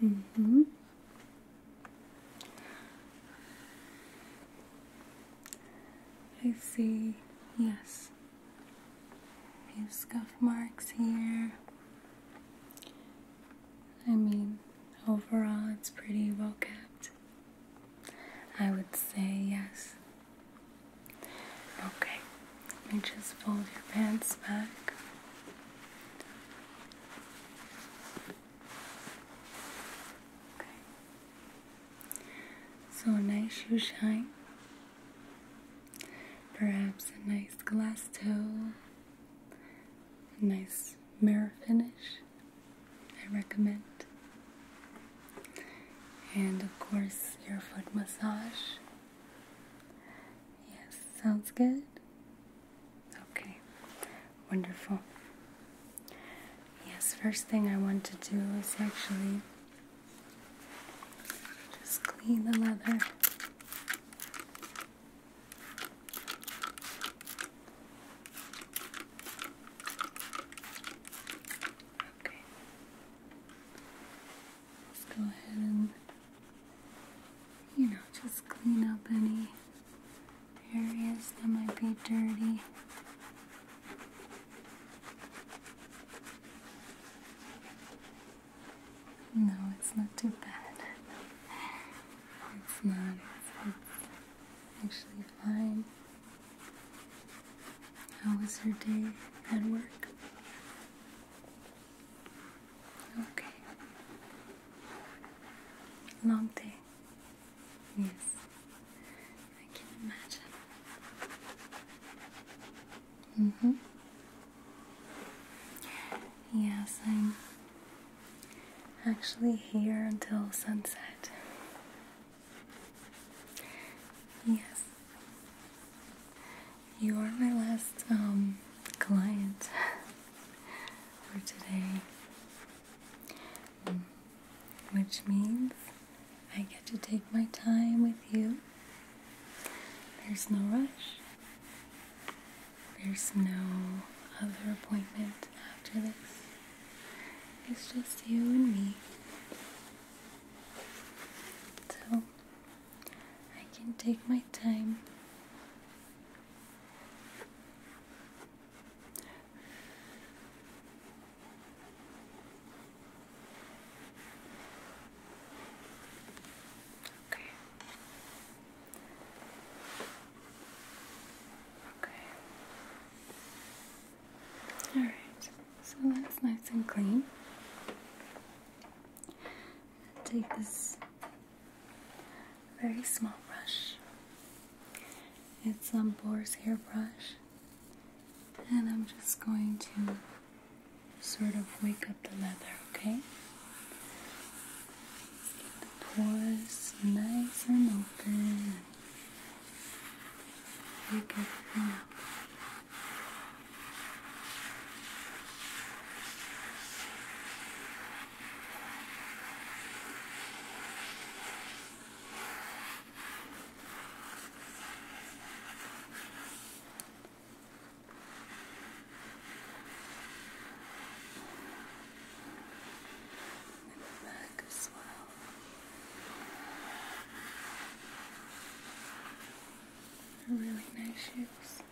hmm I see, yes. A few scuff marks here. I mean, overall, it's pretty well kept. I would say yes. Okay. Let me just fold your pants back. Okay. So a nice shoe shine. Perhaps a nice glass toe. A nice mirror finish. I recommend. And of course, your foot massage. Yes, sounds good. Okay, wonderful. Yes, first thing I want to do is actually just clean the leather. Okay. Let's go ahead and, you know, just clean up any areas that might be dirty. No, it's not too bad. It's not. It's, actually fine. How was your day at work? Okay. Long day. Yes. I can imagine. Mm-hmm. Yes, I'm actually here until sunset. Yes. You are my last um, client for today, mm. which means I get to take my time with you. There's no rush. There's no other appointment after this. It's just you and me. So, I can take my time. Okay. Okay. All right. So that's nice and clean take this very small brush. It's a um, boar's hair brush. And I'm just going to sort of wake up the leather, okay? Get pores nice and open. Wake everything up the back as well. Really nice shoes.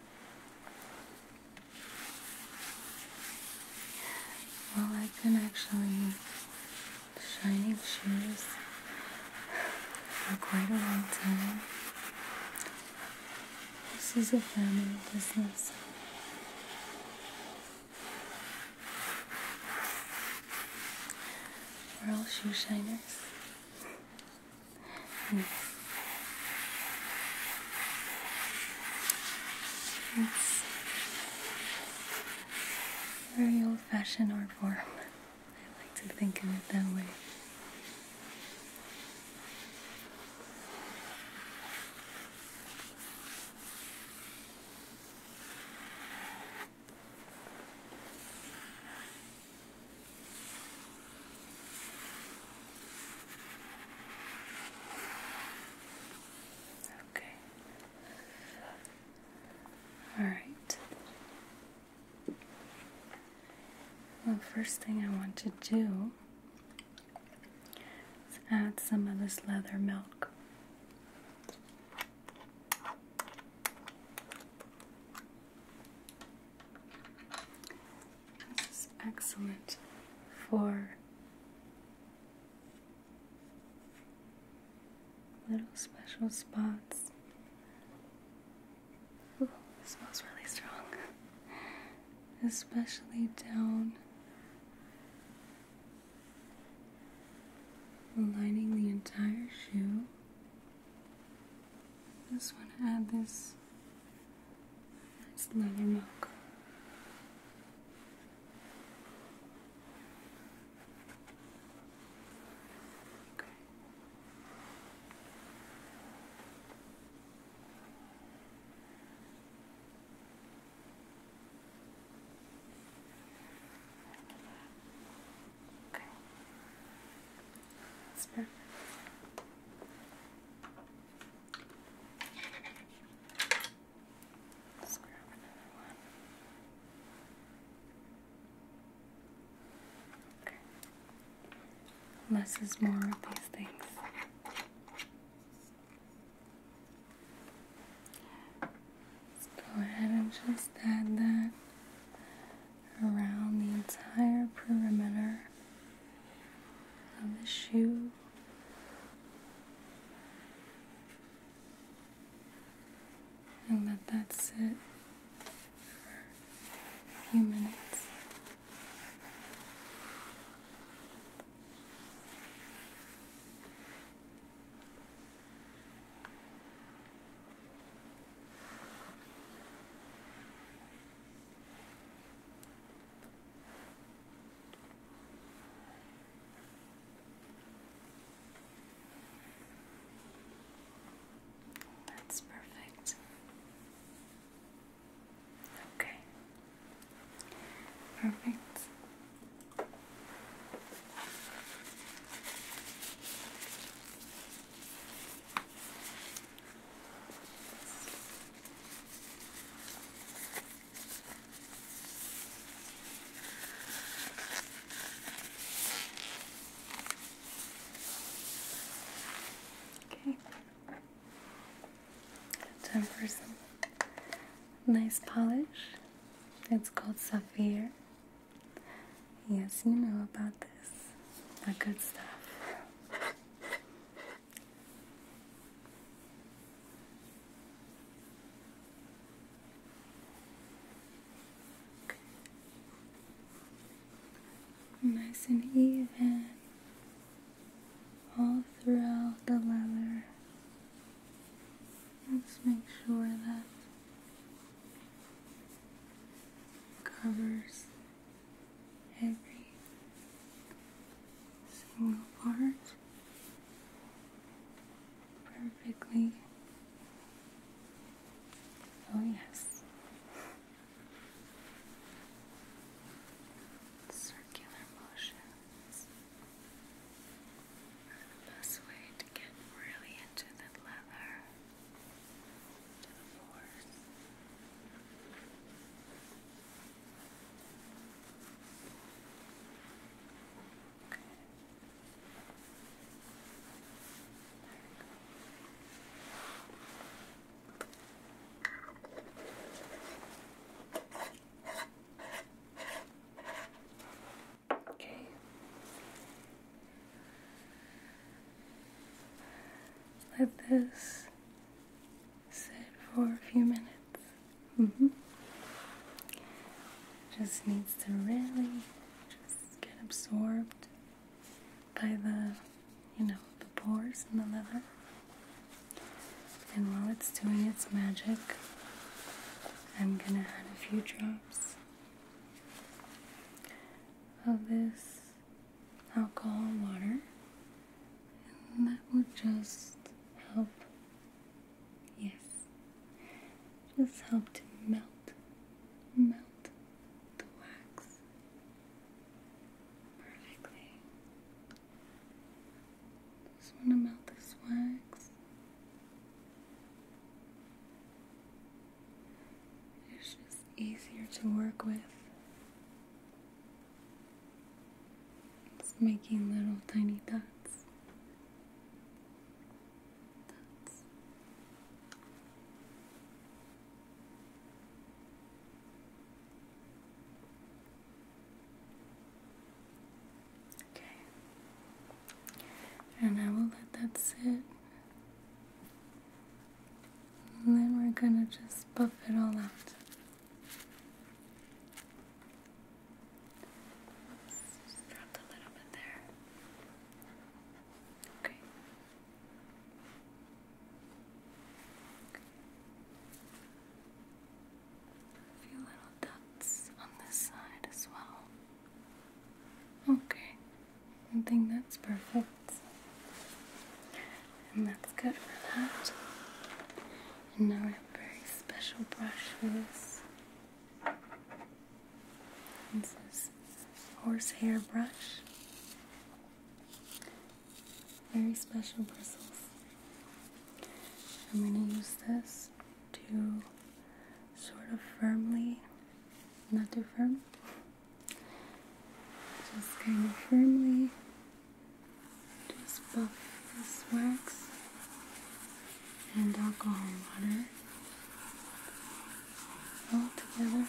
Well, I've been actually shining shoes for quite a long time. This is a family business. We're all shoe shiners very old fashioned art form. I like to think of it that way. Okay. All right. Well, first thing I want to do is add some of this leather milk. This is excellent for little special spots. Ooh, smells really strong. Especially down lining the entire shoe. Just want to add this nice leather mark. Okay. Okay. That's perfect. Let's grab another one. Okay. Less is more of these things. go ahead and just add that around the entire perimeter of the shoe. And let that sit for a few minutes. That's perfect. Okay. Perfect. Okay. Time for some nice polish. It's called Sapphire. Yes, you know about this. The good stuff. Nice and even all throughout the leather. Let's make sure that covers every single part perfectly. Oh, yes. Circular motions are the best way to get really into the leather to the force. Good. There we go. Okay. Let this sit for a few minutes. Mm-hmm. Just needs to really just get absorbed by the, you know, the pores in the leather. And while it's doing its magic, I'm gonna add a few drops of this alcohol water and that will just help yes just help to melt melt the wax perfectly just want to melt this wax it's just easier to work with. It's making little tiny dots. Okay. And I will let that sit and then we're gonna just buff it all out. Okay. A few little dots on this side as well. Okay, I think that's perfect. And that's good for that. And now we have very special brush for this. This is horsehair brush. Very special bristles. I'm going to use this to sort of firmly, not too firm, just kind of firmly just buff this wax and alcohol water all together.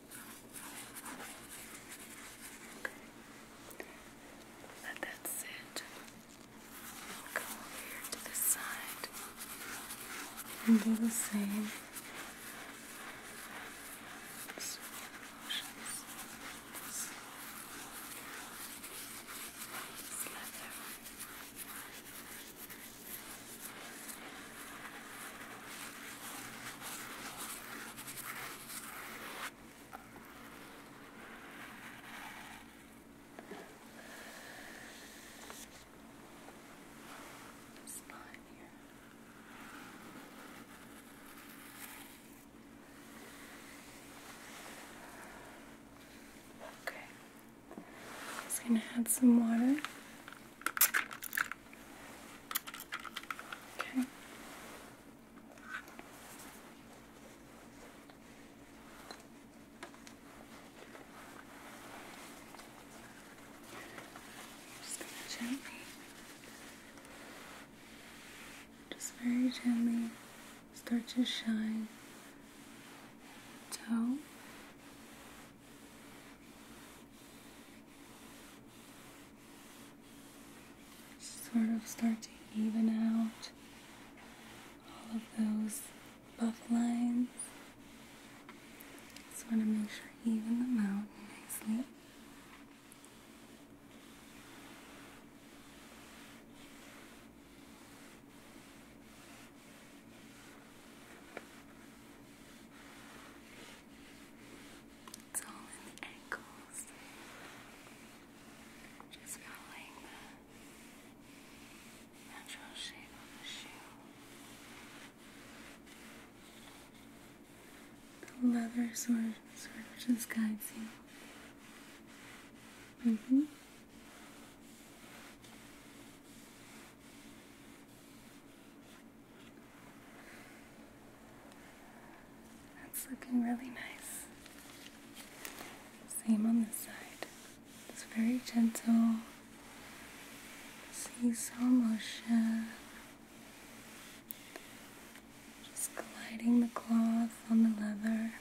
Let that sit. we over to this side and do the same. So motions. This line Okay. Just gonna add some water. Okay. Just gently, just very gently start to shine toe Sort of start to even out all of those buff lines. Just want to make sure even them out nicely. It's all in the ankles. Just following the natural shape of the shoe. The leather sort of, sort of just guides you. Mm-hmm. That's looking really nice. Same on this side. It's very gentle. See Seesaw motion. Just gliding the cloth on the leather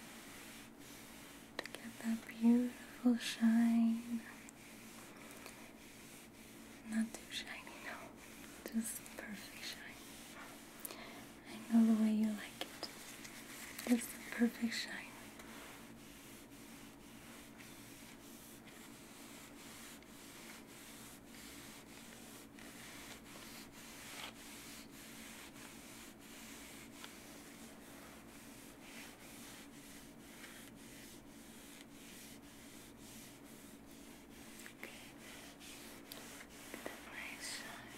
to get that beautiful shine. Not too shiny, no. Just perfect shine. I know the way you like it. Just perfect shine. Okay. Look at my son.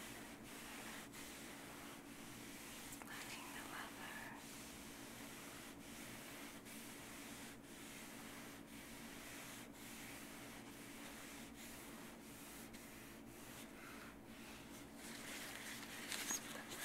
Letting the rubber. Just put that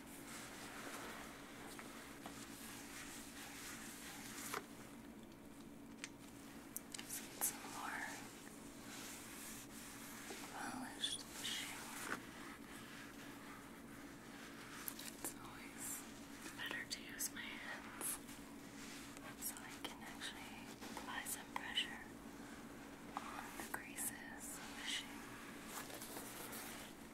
Some more polished machine. It's always better to use my hands so I can actually apply some pressure on the creases machine.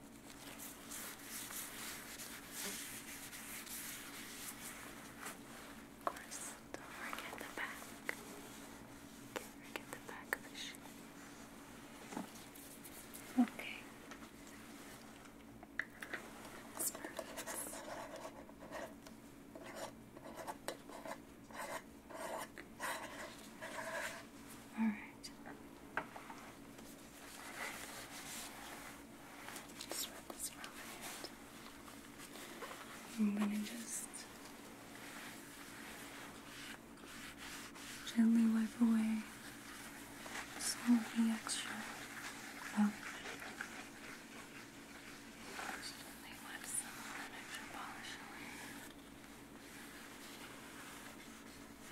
Of course, don't forget the back. Can't forget the back of the shoe. Okay. All right. I'm gonna just gently wipe away some of the extra polish. gently wipe some of that extra polish away.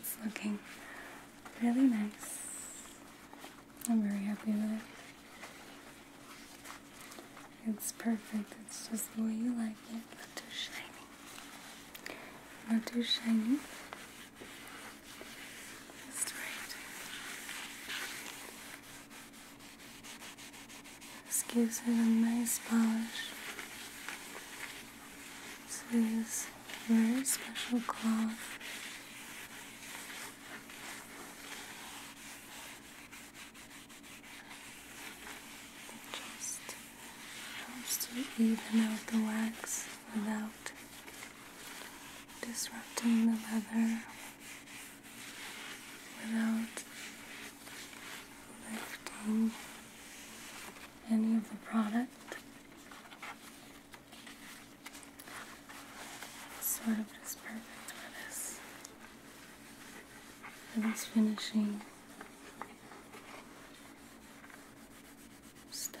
It's looking really nice. I'm very happy with it. It's perfect. It's just the way you like it. Not too shiny. Not too shiny. Just right. This gives it a nice polish. This is very special cloth. just helps to even out the wax without disrupting the leather, without any of the product. It's sort of just perfect for this. this finishing step.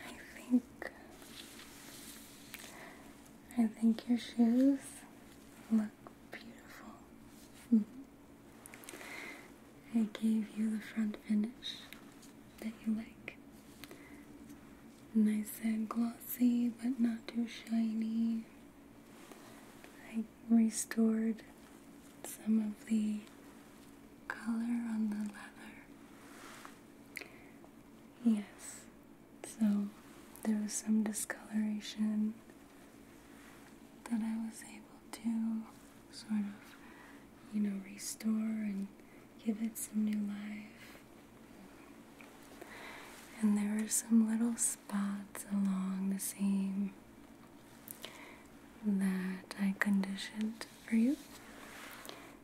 I think I think your shoes look beautiful. Mm-hmm. I gave you the front finish that you like nice and glossy but not too shiny. I restored some of the color on the leather. Yes, so there was some discoloration that I was able to sort of, you know, restore and give it some new life. And there are some little spots along the seam that I conditioned for you.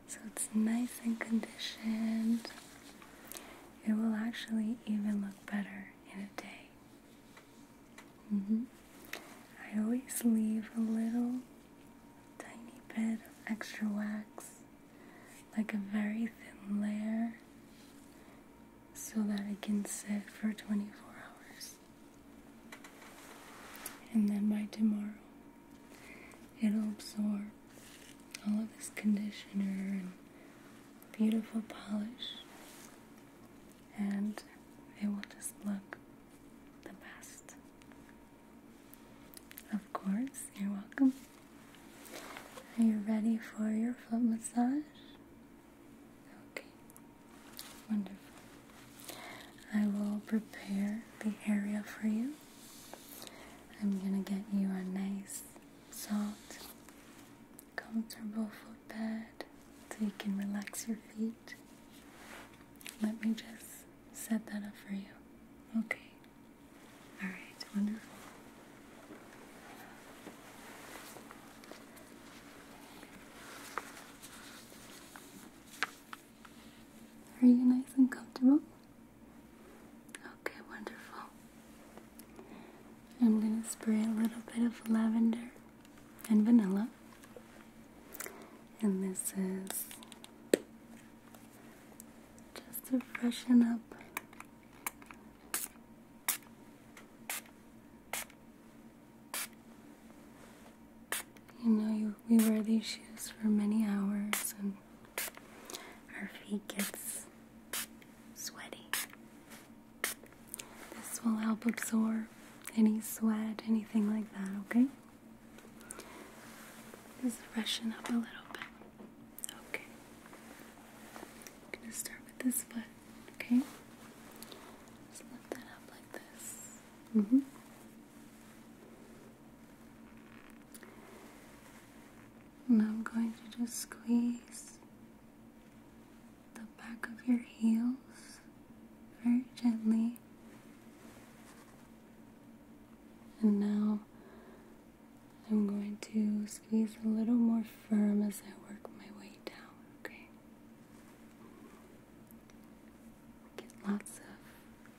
So it's nice and conditioned. It will actually even look better in a day. Mm-hmm. I always leave a little tiny bit of extra wax like a very thin layer so that it can sit for 24 hours. And then by tomorrow, it'll absorb all of this conditioner and beautiful polish, and it will just look the best. Of course, you're welcome. Are you ready for your foot massage? Okay, wonderful. I will prepare the area for you. I'm gonna get you a nice, soft, comfortable footbed so you can relax your feet. Let me just set that up for you. Okay. All right, Are you nice and comfortable? Okay, wonderful. I'm going to spray a little bit of lavender and vanilla. And this is just to freshen up. You know, you, we wear these shoes for many hours and our feet gets sweaty. This will help absorb any sweat, anything like that, okay? Just freshen up a little bit. Okay. I'm gonna start with this foot, okay? Just lift that up like this. Mm-hmm. And I'm going to just squeeze the back of your heels very gently. And now I'm going to squeeze a little more firm as I work my way down, okay? Get lots of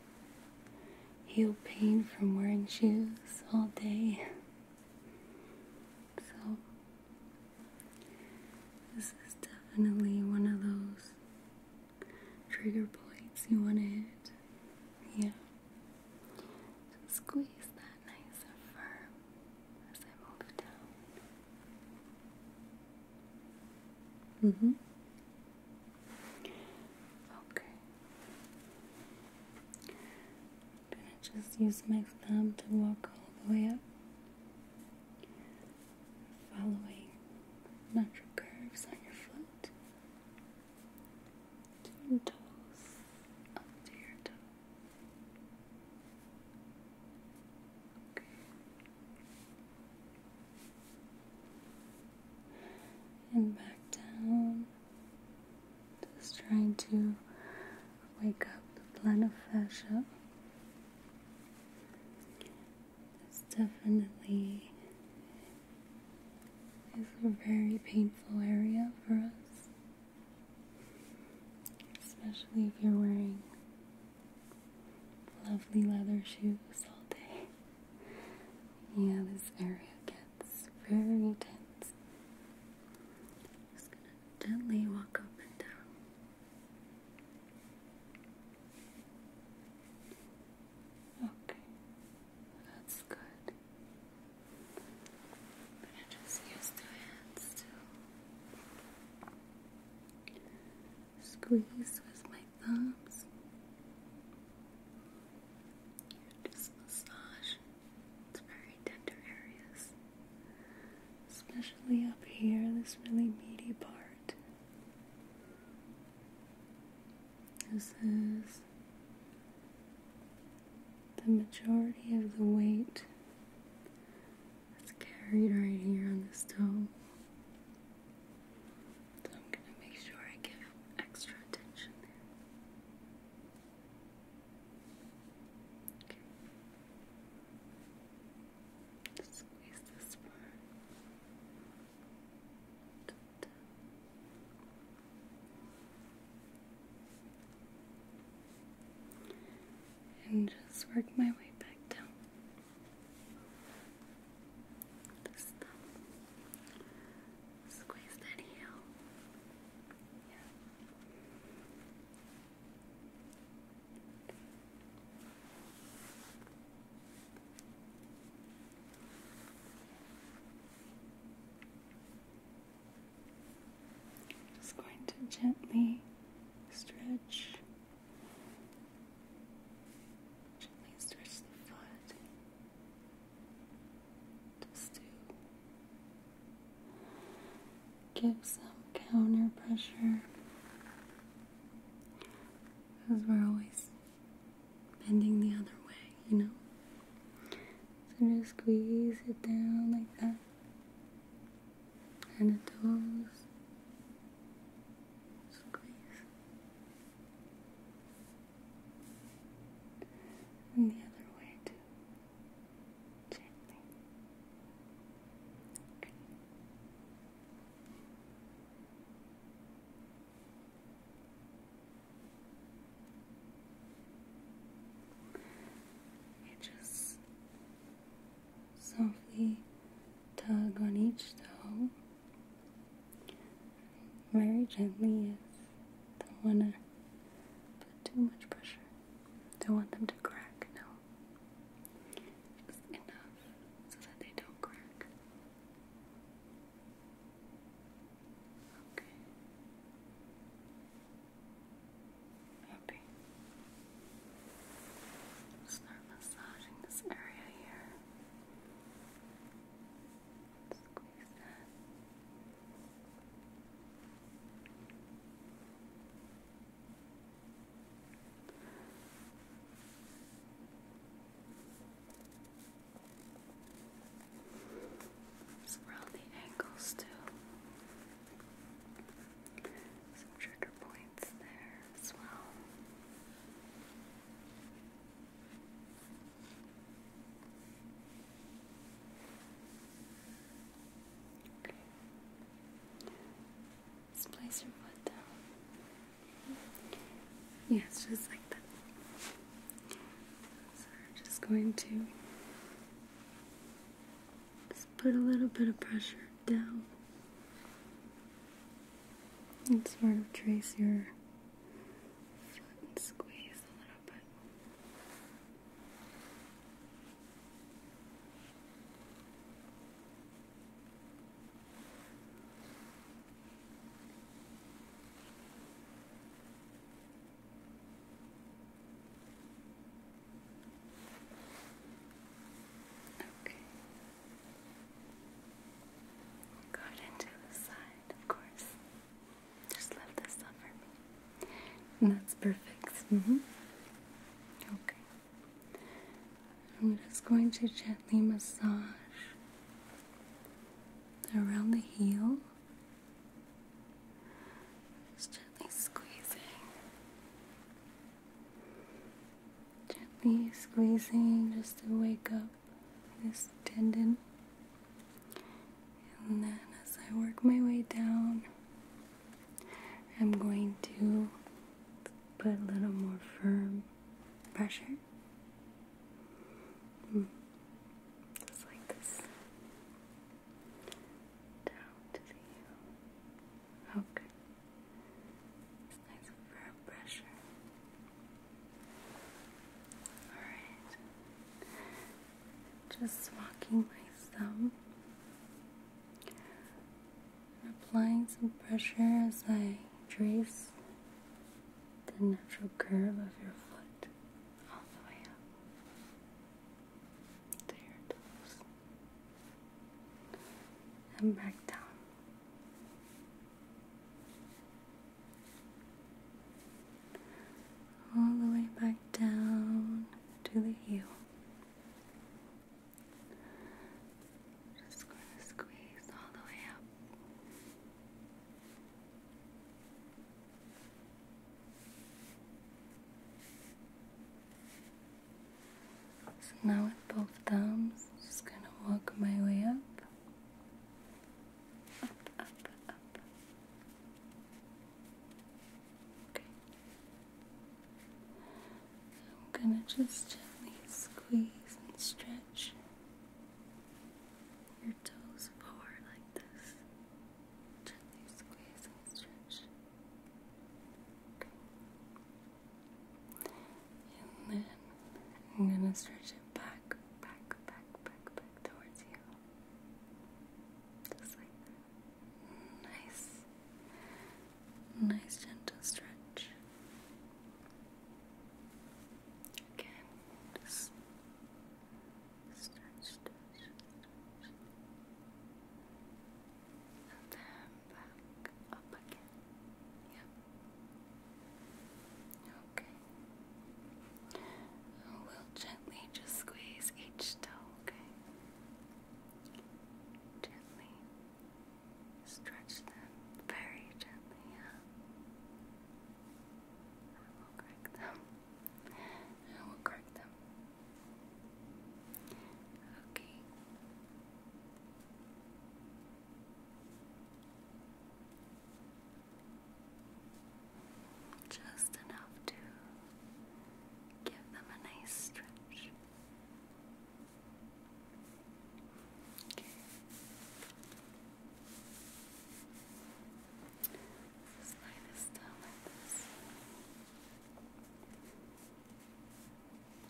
heel pain from wearing shoes all day. So, this is definitely one of those trigger points you want to hit. Yeah squeeze that nice and firm as I move down. Mm hmm. Okay. i just use my thumb to walk all the way up, following natural curves on your foot to your toes, up to your toes. Okay. And back down. Just trying to wake up the plantar fascia. It's definitely is a very painful area for us, especially if you're wearing lovely leather shoes all day. Yeah, this area gets very tense. just gonna gently walk up and down. Okay, that's good i just use the hands to squeeze with my thumbs. Just massage. It's very tender areas, especially up here, this really meaty part. This is the majority of the weight that's carried right here on the stove. So I'm going to make sure I give extra attention there. Okay. Just squeeze this part. And just work my way back down. Squeeze that heel. Just going to gently stretch, gently stretch the foot just to give some counter pressure because we're always bending the other way, you know? So just squeeze it down like that. And the toes. Squeeze. And the other way too. Gently. Okay. You just softly tug on each toe very gently yes. Don't wanna put too much pressure. Don't want them to crack, no. Just enough so that they don't crack. Okay. Maybe start massaging this area here. Squeeze that let the ankles too. Some trigger points there as well. Okay. let place your foot down. Yeah, just like that. So I'm just going to just put a little bit of pressure down and sort of trace your foot and squeeze a little bit. Okay. Guard into the side, of course. Just lift this up for me. And that's perfect. Mm hmm Okay. I'm just going to gently massage around the heel. Just gently squeezing. Gently squeezing just to wake up this tendon. And then as I work my way down, I'm going to put a little more firm pressure just like this. Down to the heel. Okay. nice firm pressure. Alright. Just walking my thumb. applying some pressure as I trace the natural curve of your foot all the way up to your toes and back down. All the way back down to the heel. Just going to squeeze all the way up so now with both thumbs, just gonna walk my way up. Up, up, up. Okay. I'm gonna just gently squeeze and stretch your toes forward like this. Gently squeeze and stretch. Okay. And then I'm gonna stretch it back, back, back, back, back towards you. Just like that. Nice. Nice gentle stretch. Again, stretch, stretch, stretch. And back up again. Yep. Okay. We'll gently just squeeze each toe, okay? Gently stretch them very gently, yeah. I will crack them. I will crack them. Okay. Just enough to give them a nice stretch. Okay. Slide this down like this.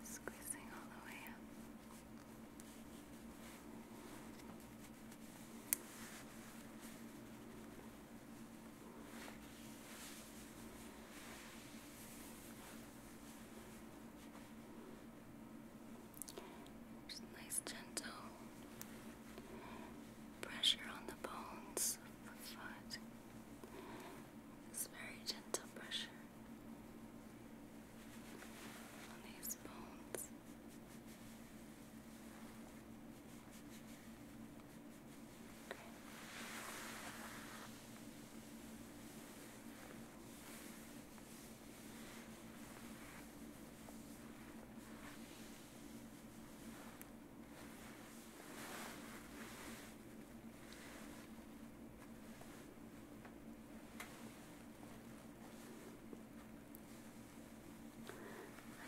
Squeezing all the way up. Just nice, gentle pressure on the bones of the foot. It's very gentle pressure on these bones.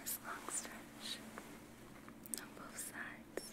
Nice long stretch on both sides.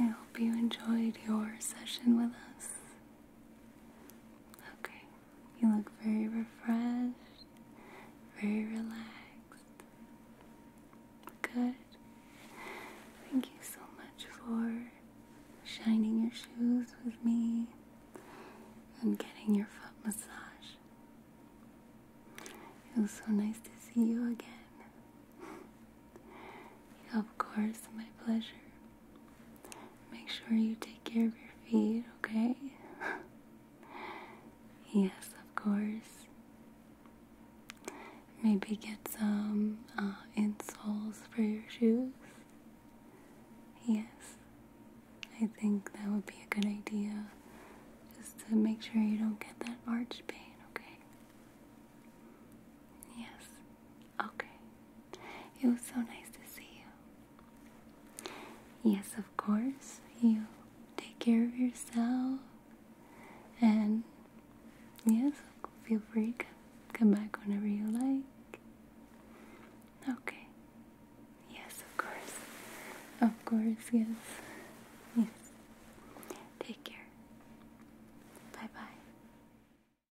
I hope you enjoyed your session with us. Okay, you look very refreshed, very relaxed. Good. Thank you so much for shining your shoes with me and getting your foot massage. It was so nice to see you again. Of course, my pleasure. Make sure you take care of your feet, okay? yes, of course. Maybe get some uh, insoles for your shoes. Yes, I think that would be a good idea just to make sure you don't get that arch pain, okay? Yes, Okay. It was so nice to see you. Yes, of course. You take care of yourself. And yes, feel free to come back whenever you like. Okay. Yes, of course. Of course, yes. Yes. Take care. Bye bye.